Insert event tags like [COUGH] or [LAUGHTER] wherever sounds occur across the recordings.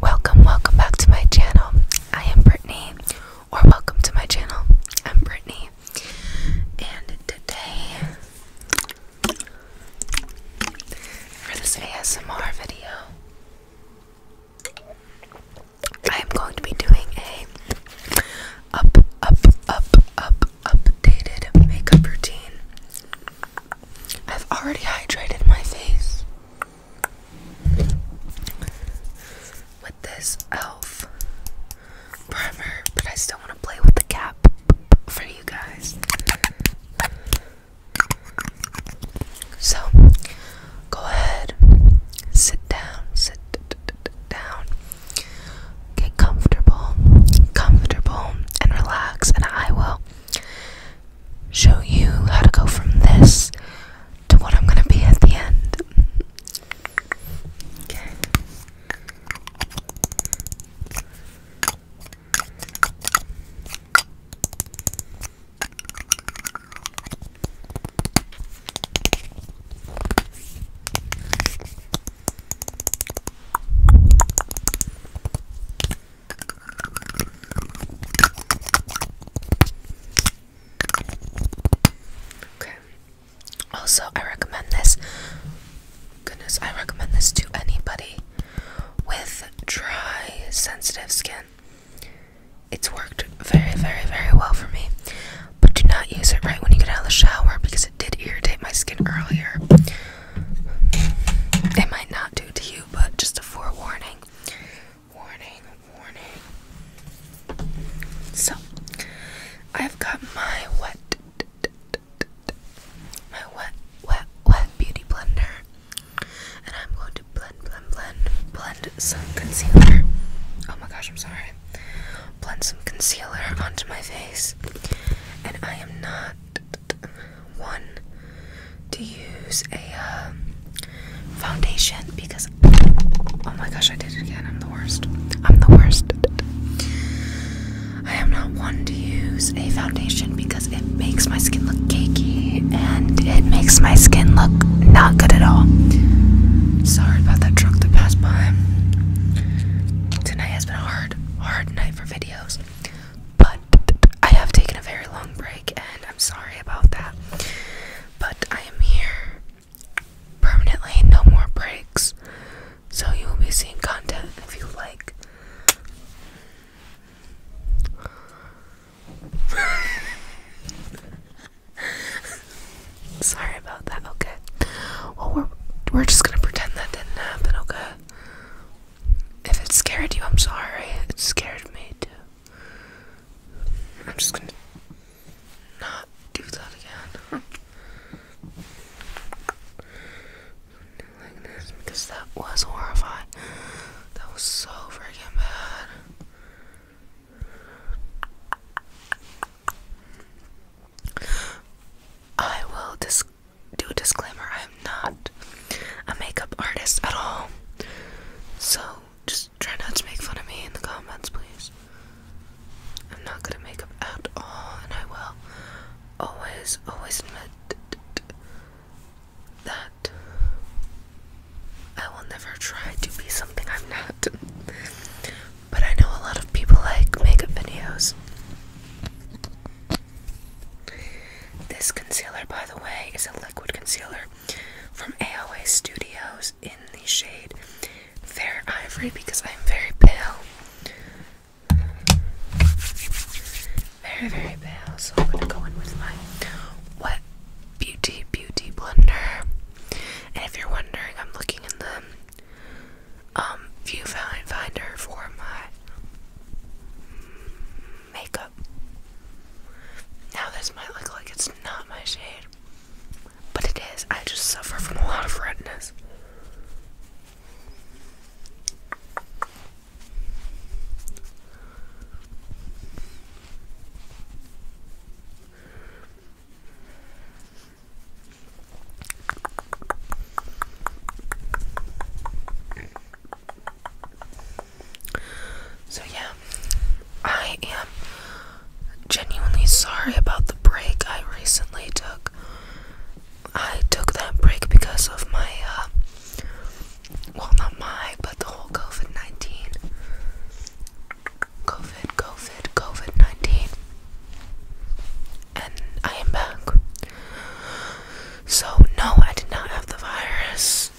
Welcome, welcome back to my channel. I am Brittany, or welcome to my channel. I'm Brittany, and today for this ASMR video, I am going to be doing a up, up, up, up, updated makeup routine. I've already hydrated my face with this e.l.f. primer, but I still want to play with the cap for you guys. So, go ahead, sit down, sit down, get comfortable, comfortable, and relax, and I will show you how to go from this to what I'm gonna be at the end. Okay. Also, I recommend this. Goodness, I recommend this to anybody with dry, sensitive skin. It's worked very, very, very well for me. But do not use it right when you get out of the shower because it did irritate my skin earlier. It might not do to you, but just a forewarning. Warning, warning. So, I've got my wet, my wet, wet, wet beauty blender, and I'm going to blend, blend, blend, blend some concealer. Oh my gosh, I'm sorry. Blend some concealer onto my face, and I am not one to use a um, foundation because oh my gosh, I did it again. I'm the worst. I'm the worst. I am not one to use a foundation because it makes my skin look cakey and it makes my skin look not good at all. Sorry about that truck that passed by. Tonight has been a hard, hard night for videos. But I have taken a very long break and I'm sorry about that. But I am here permanently, no more breaks. So you will be seeing content if you like. [LAUGHS] Sorry about that. Okay. Well, we're we're just gonna pretend that didn't happen. Okay. If it scared you, I'm sorry. It scared me too. I'm just gonna not do that again. like this because that was horrifying. That was so freaking bad. I will dis do a disclaimer, I am not a makeup artist at all. So just try not to make fun of me in the comments, please. I'm not good at makeup at all, and I will always, always admit that I will never try to be something I'm not. But I know a lot of people like makeup videos. This concealer, by the way, is a liquid concealer from AOA Studios in the shade Fair Ivory because I'm very pale. Very, very pale. So I'm going to go in with my Wet Beauty Beauty Blender. And if you're wondering, I'm looking in the um, viewfinder for my makeup. Now, this might look like it's not my shade, but it is. I just suffer from a lot of redness. So, yeah, I am genuinely sorry about the break I recently took. I took that break because of my, uh, well, not my, but the whole COVID 19. COVID, COVID, COVID 19. And I am back. So, no, I did not have the virus.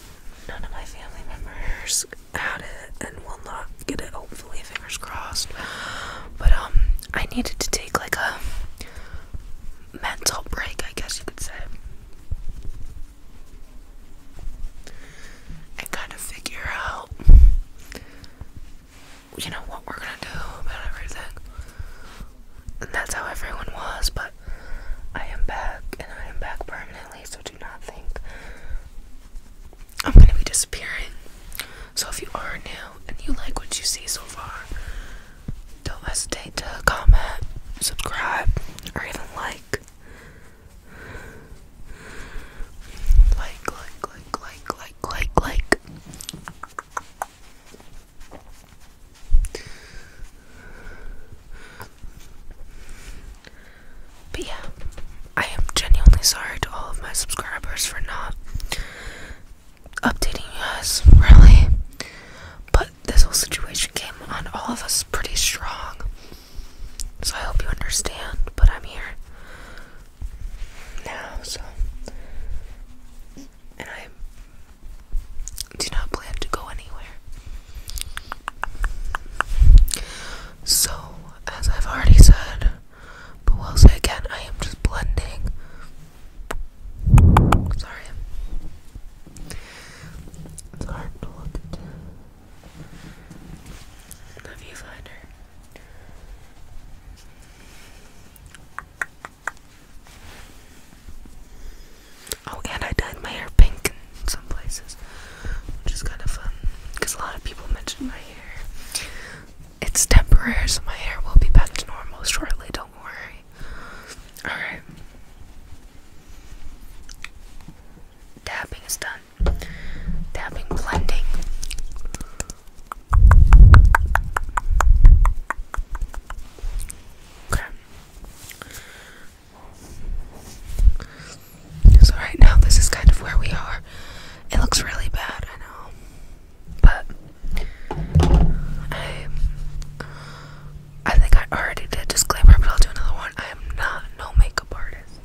None of my family members had it and will not get it, hopefully, fingers crossed. But, um, I needed to take like a mental break, I guess you could say. And kind of figure out, you know, what we're gonna do about everything that's how everyone was, but I am back and I am back permanently, so do not think I'm gonna be disappearing. So if you are new and you like what you see so far, don't hesitate to comment, subscribe, or even Like, like, like, like, like, like, like. But yeah, I am genuinely sorry to all of my subscribers for not updating us. really. But this whole situation came on all of us pretty strong. So I hope you understand, but I'm here now, so. And I do not plan to go anywhere. So, as I've already said, but will say again, I am just blending. Sorry. It's hard to look at the viewfinder. Oh, and I dyed my hair pink in some places, which is kind of fun because a lot of people mention my hair. It's temporary, so my hair will be back to normal shortly, don't worry. Alright. Dabbing is done. Dabbing, blending. Okay. So right now this is kind of where we are. It looks really bad, I know. But I I think I already did disclaimer, but I'll do another one. I am not no makeup artist.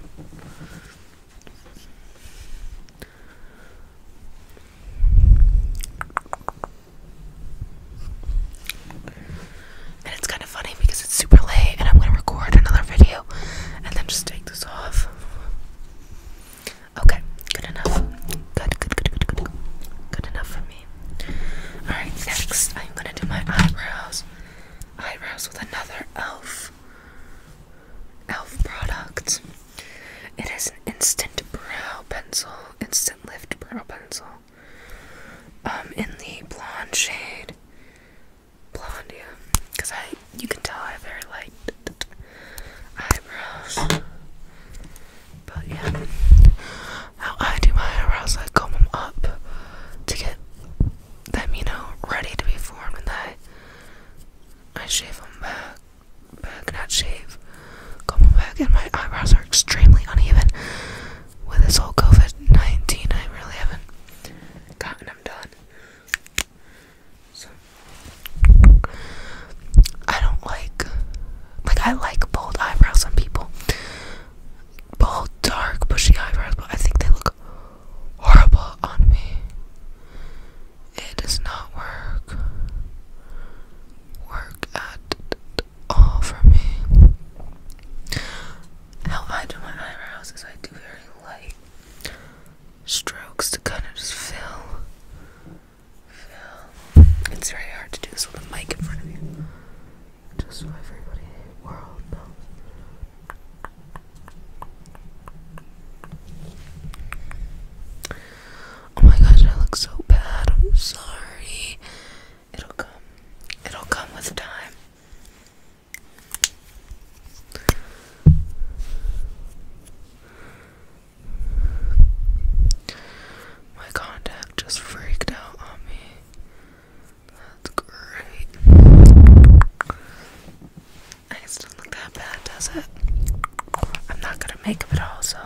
And it's kind of funny because it's super late and I'm going to record another video and then just take this off. Okay, good enough. Good, good, good, good, good. Good enough for me. Alright, next I'm going to do my eyebrows. Eyebrows with another e.l.f. e.l.f. product. It is an instant brow pencil. Instant Lift Brow Pencil. Um, in the blonde shade. Blonde, Because I, you can tell I have very light eyebrows. But yeah. How I do my eyebrows, I comb them up to get them, you know, ready to be formed, and I, I shave them back. I Baghdad shave. Come on, back and my eyebrows are extremely uneven. With this whole COVID 19, I really haven't gotten them done. So, I don't like, like, I like bold eyebrows on people. Bold, dark, bushy eyebrows, but I think they look horrible on me. It does not work work at all for me. How I do my eyebrows is I do very light strokes to kind of just fill. Fill. It's very hard to do this with a mic in front of you. Just so everybody in the world knows. Oh my gosh, I look so bad. I'm sorry. It'll come. It'll come with time. My contact just freaked out on me. That's great. I guess look that bad, does it? I'm not gonna make it at all, so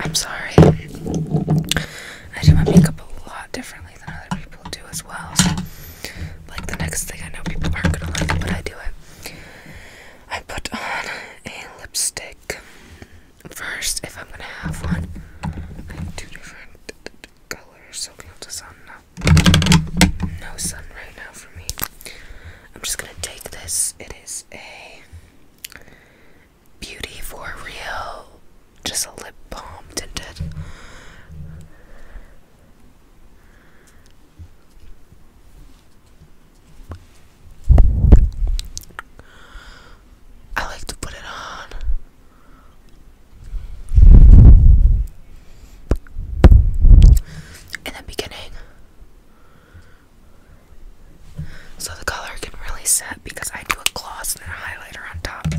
I'm sorry. I do my makeup a lot differently than other people do as well. like the next thing I know, people aren't gonna like it, but I do it. I put on a lipstick first if I'm gonna have one. I have two different colors, so we have to sun now. No sun right now for me. I'm just gonna take this. It is a Beauty for real. Just a lip balm tinted. I like to put it on. In the beginning, so the color can really set because I do a gloss and then a highlighter on top.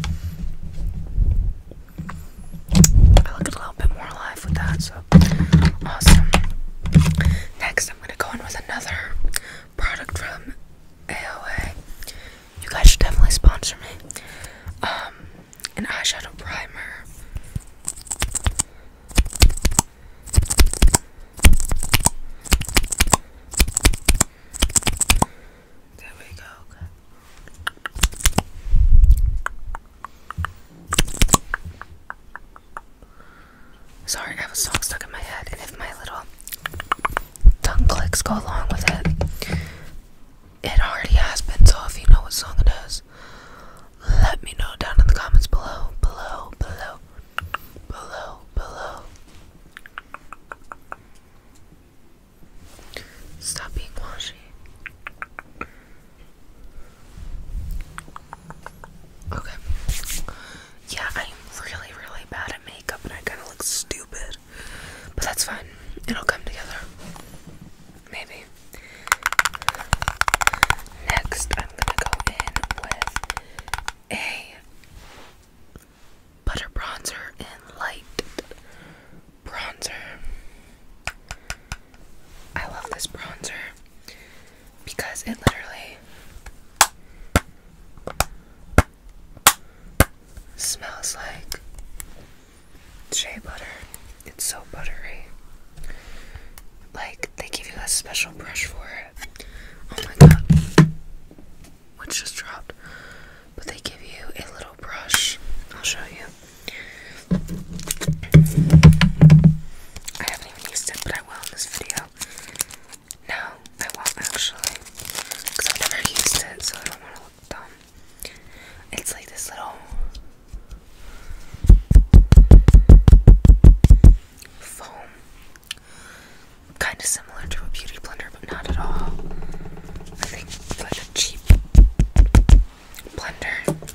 I look a little bit more alive with that, so awesome. Next, I'm gonna go in with another product from AOA. You guys should definitely sponsor me. Um, an eyeshadow primer. There we go. Sorry, I have a song stuck in my head, and if my little tongue clicks go along with it, it already has been. So if you know what song it is, let me know down in the comments below, below, below below, below. Stop being washy. Okay. Yeah, I'm really, really bad at makeup and I kind of look stupid. But that's fine. It'll come together. Maybe. Next, I'm gonna go in with a butter bronzer and light bronzer. I love this bronzer because it literally smells like shea butter. It's so buttery like they give you a special brush for it. Oh my god. Which just dropped. But they give you a little brush. I'll show you. I haven't even used it, but I will in this video. No, I won't actually. Because I've never used it, so I don't want to look dumb. It's like this little foam. Kind of similar to a beauty blender, but not at all. I think it's like a cheap blender.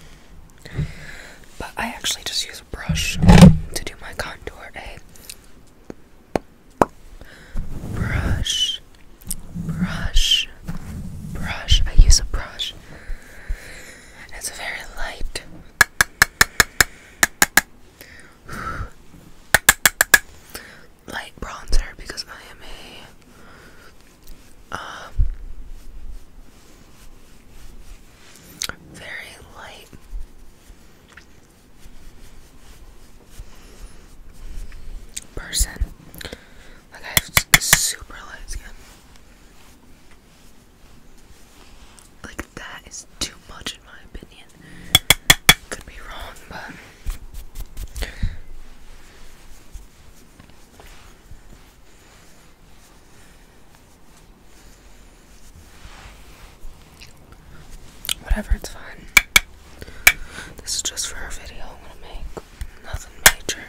But I actually just use a brush to do my contour. A eh? brush, brush, brush. I use a brush. It's very light light bronzer because I am a um, very light. Person, like I have super light skin, like that is too much in my opinion. Could be wrong, but whatever, it's fine. This is just for our video I'm gonna make. Nothing major.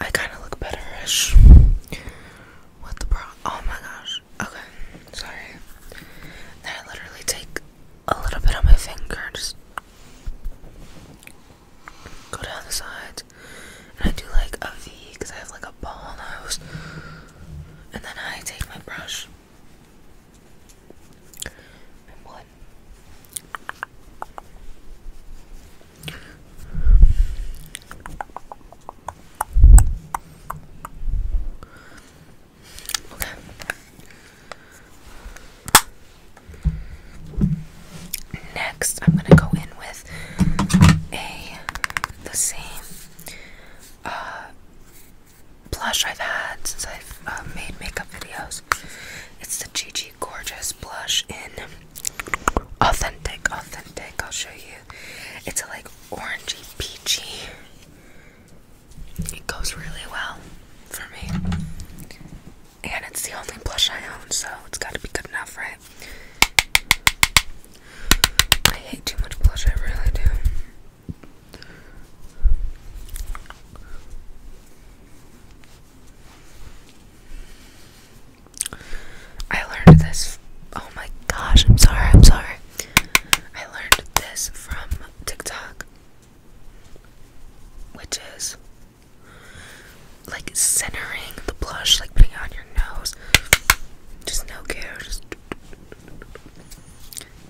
I kind of look betterish. ish with the bra. Oh my gosh. Okay, sorry. Then I literally take a little bit on my finger. Just go down the sides. And I do like a V because I have like a ball nose. And then I take my brush Next, I'm gonna go in with a the same uh, blush I've had since I've uh, made makeup videos. It's the Gigi Gorgeous blush in authentic, authentic. I'll show you. It's a like orangey peachy it goes really well for me. And it's the only blush I own, so it's gotta be good enough, right? I hate too much blush, I really do. I learned this. Oh my gosh, I'm sorry, I'm sorry. I learned this from TikTok which is like centering the blush, like putting it on your nose. Just no care, just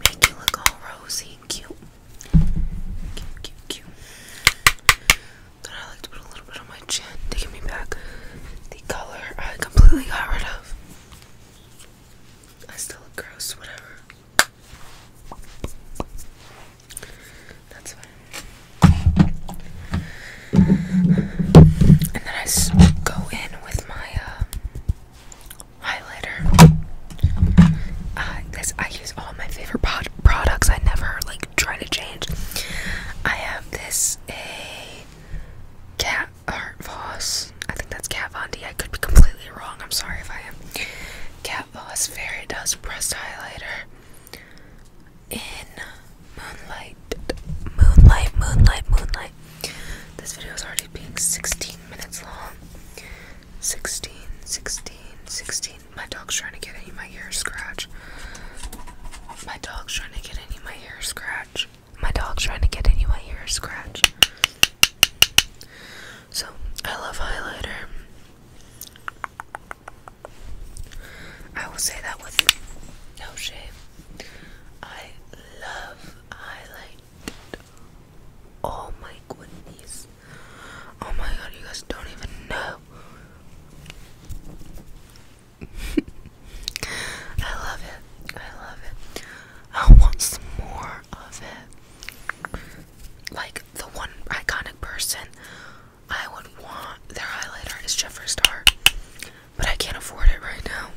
make you look all rosy and cute. Cute, cute, cute. Then I like to put a little bit on my chin to give me back the color I completely got rid of. I still look gross, whatever. That's fine. And then I go in with my uh, highlighter. Uh, I use all my favorite pod products. I never like try to change. I have this a cat Art Voss. I think that's Kat Von D. I could be completely wrong. I'm sorry if I am. Kat Voss Fairy Dust Pressed Highlighter in Moonlight. Moonlight, Moonlight, Moonlight. This video is already being 16 minutes long. 16, 16, 16. My dog's trying to get any of my hair scratch. My dog's trying to get any of my hair scratch. My dog's trying to get any of my hair scratch. So, I love highlighter. I will say that with no shame. I love highlight. Oh my goodness. Oh my god, you guys don't even know. [LAUGHS] I love it. I love it. I want some more of it. Like the one iconic person I would want their highlighter is Jeffree Star, but I can't afford it right now.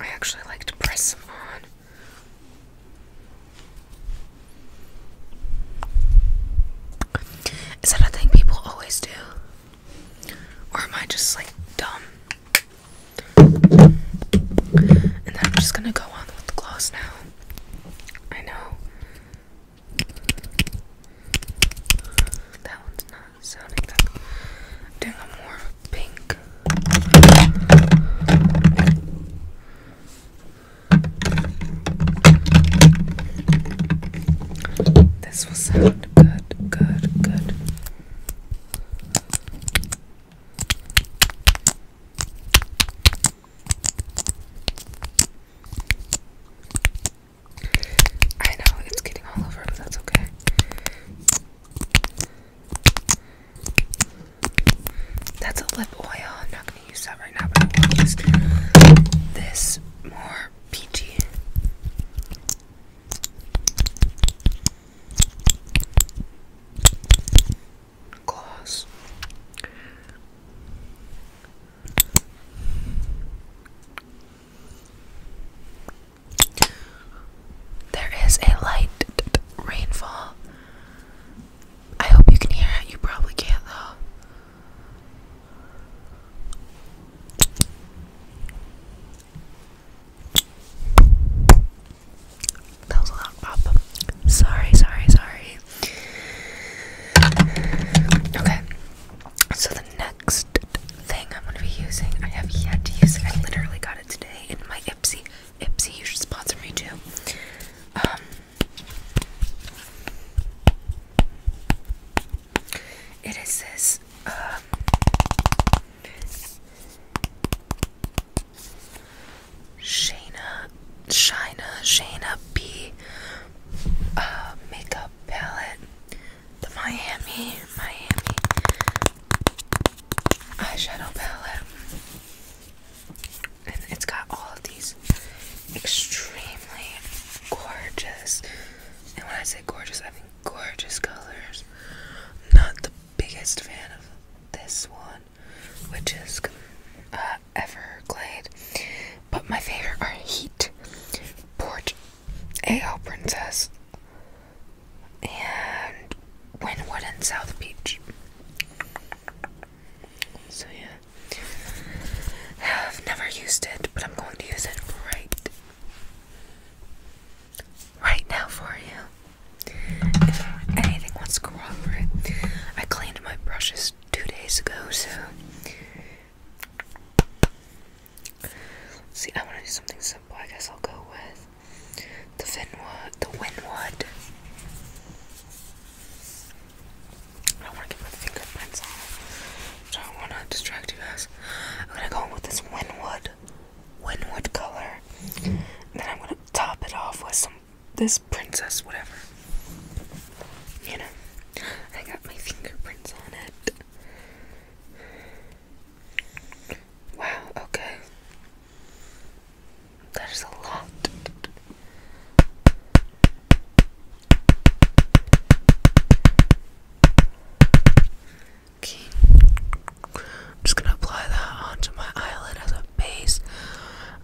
I actually like to press them on. Is that a thing people always do? Or am I just like dumb? And then I'm just gonna go on with the gloss now. I know. That one's not sounding that good. i more pink. This will sound good, good, good. I know it's getting all over, but that's okay. That's a lip oil. I'm not gonna use that right now, but I am gonna use this more peachy. Gloss. There is a light rainfall. I hope you can hear it. You probably can't, though. That was a loud pop. Sorry, sorry, sorry. Okay. So the next thing I'm going to be using, I have yet to use it. I literally got it today in my Ipsy Ipsy, you should sponsor me too. Um, it is this. Uh, Shayna, Shina, Shayna B. Uh, makeup palette, the Miami, Miami eyeshadow palette. it's got all of these extremely gorgeous, and when I say gorgeous, I mean gorgeous colors. Not the biggest fan of this one, which is uh, Everglade, but my favorite are Heat, Port, AO Princess, and Wynwood and South Beach. So yeah, have never used it, but I'm going to use it right, right now for you. If anything wants to cooperate, I cleaned my brushes two days ago, so. See, I want to do something simple. I guess I'll go with the Vinwood, the Winwood. I want to get my fingerprints on so I want to distract you guys. I'm gonna go with this Winwood, Winwood color, and then I'm gonna top it off with some this princess, whatever. You know, I got my fingerprints on it. Wow, okay. That is a lot. Okay. I'm just gonna apply that onto my eyelid as a base.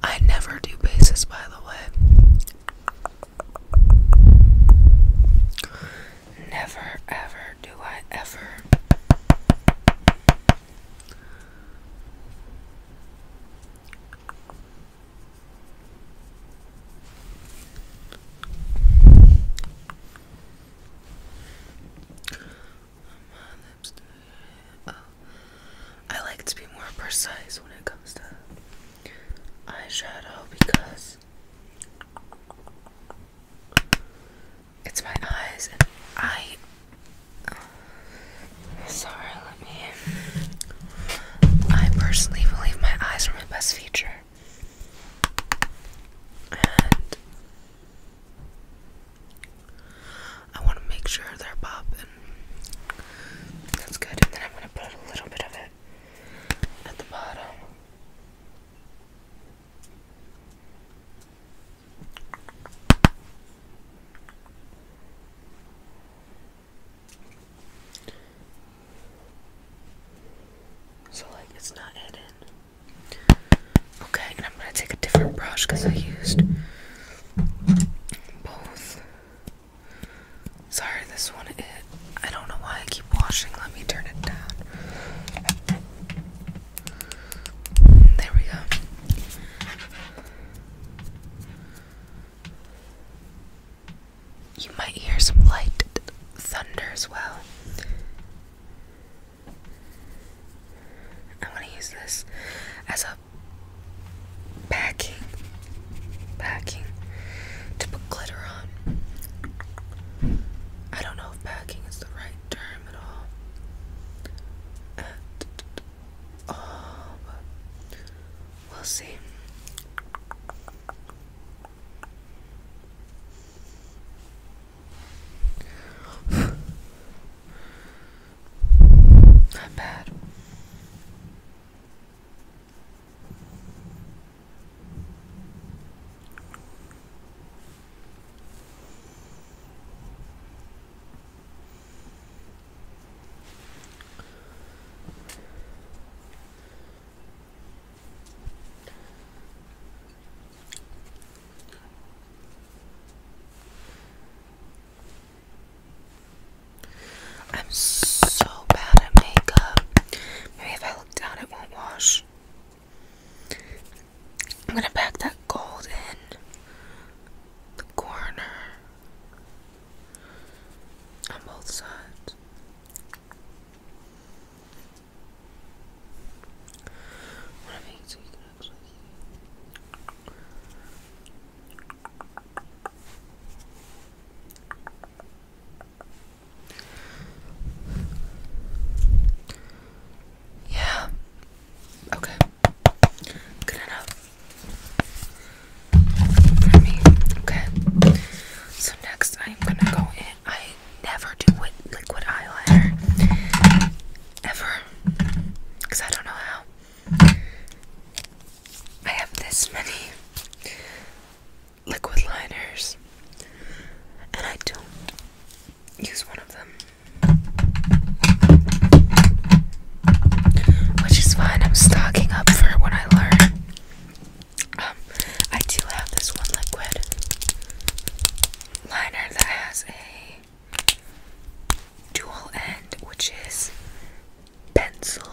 I never do bases, by the way. Never, ever, do I ever. I like to be more precise when it comes to eyeshadow because it's my eyes and I sorry, let me I personally believe my eyes are my best feature. And I want to make sure they're popping. That's good. And then I'm going to put a little bit of it at the bottom. So, like, it's not hidden. Okay, and I'm gonna take a different brush because I used both. Sorry, this one, it, I don't know why I keep washing. Let me turn it down. There we go. You might hear some light thunder as well. I want to use this as a packing, packing to put glitter on. I don't know if packing is the right terminal at all, but we'll see. Not bad. I'm so bad at makeup. Maybe if I look down, it won't wash. I'm gonna pack that gold in the corner on both sides. Yeah. Okay. Good enough Okay. So next, I'm gonna go in. I never do with liquid eyeliner ever, cause I don't know how. I have this many liquid liners, and I don't use one of them. Which is fine, I'm stocking up for what I learn. Um, I do have this one liquid liner that has a dual end, which is pencil.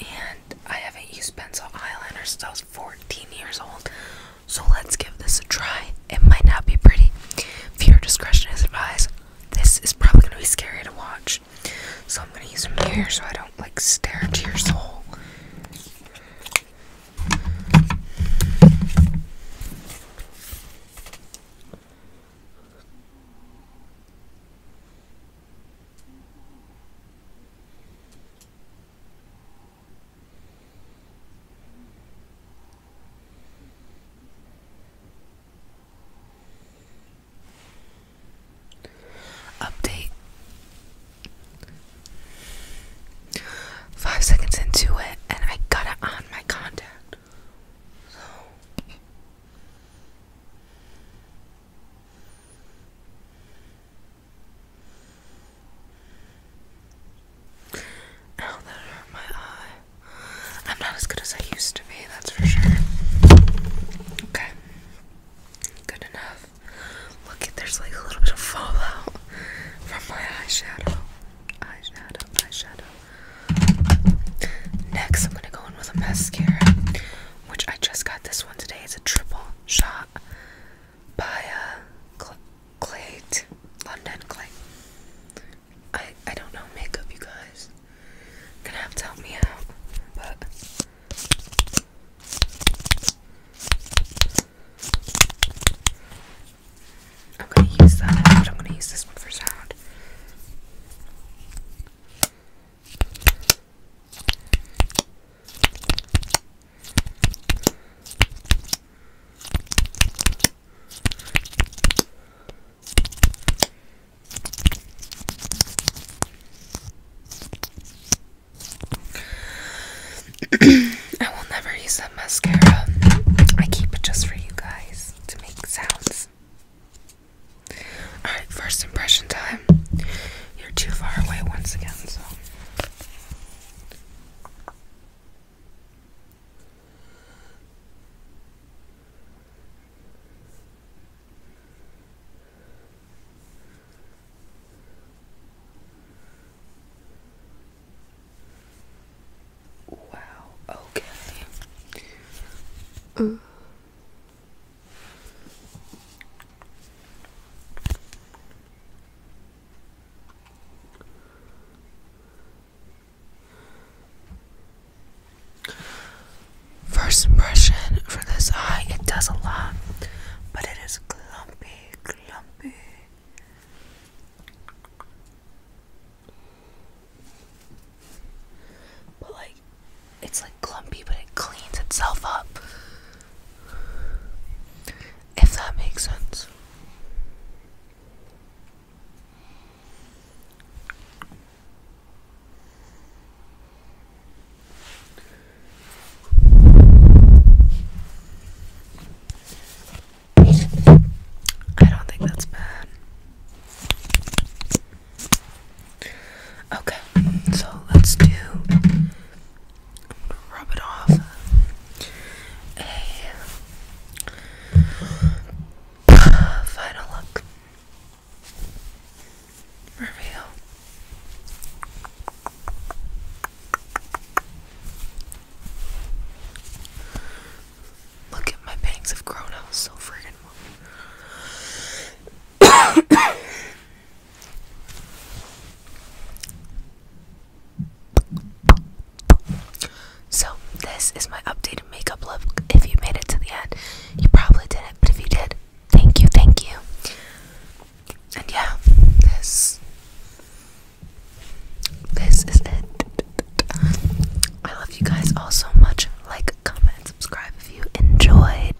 And I haven't used pencil eyeliner since I was 14 years old, so let's give this a try. It might not be pretty. Viewer discretion is advised. This is probably going to be scary to watch. So I'm going to use a mirror so I don't like stare into your soul. Update. Five seconds into it, and I got it on my contact. Oh, that hurt my eye. I'm not as good as I used to be, that's for sure. Okay. Good enough. Look, there's like a little bit of fallout from my eyeshadow. Eyeshadow, eyeshadow. Next, I'm gonna go in with a mascara, which I just got this one today. It's a triple shot by uh, Clayt, London Clay. I I don't know makeup, you guys. gonna have to help me out, I'm gonna use that, but I'm gonna use this for sound. I will never use that mascara. I keep it just for you guys to make sounds. Alright, first impression time. You're too far away once again, so Wow, okay. Mm. First impression for this eye, it does a lot, but it is clumpy, clumpy. But like, it's like clumpy, but it cleans itself up if that makes sense. I don't think that's bad. Okay, so let's do rub it off. final look reveal. Look at my bangs have grown out so friggin' So, this is my updated makeup look. If you made it to the end, you probably didn't, but if you did, thank you, thank you. And yeah, this this is it. I love you guys all so much. Like, comment, subscribe if you enjoyed.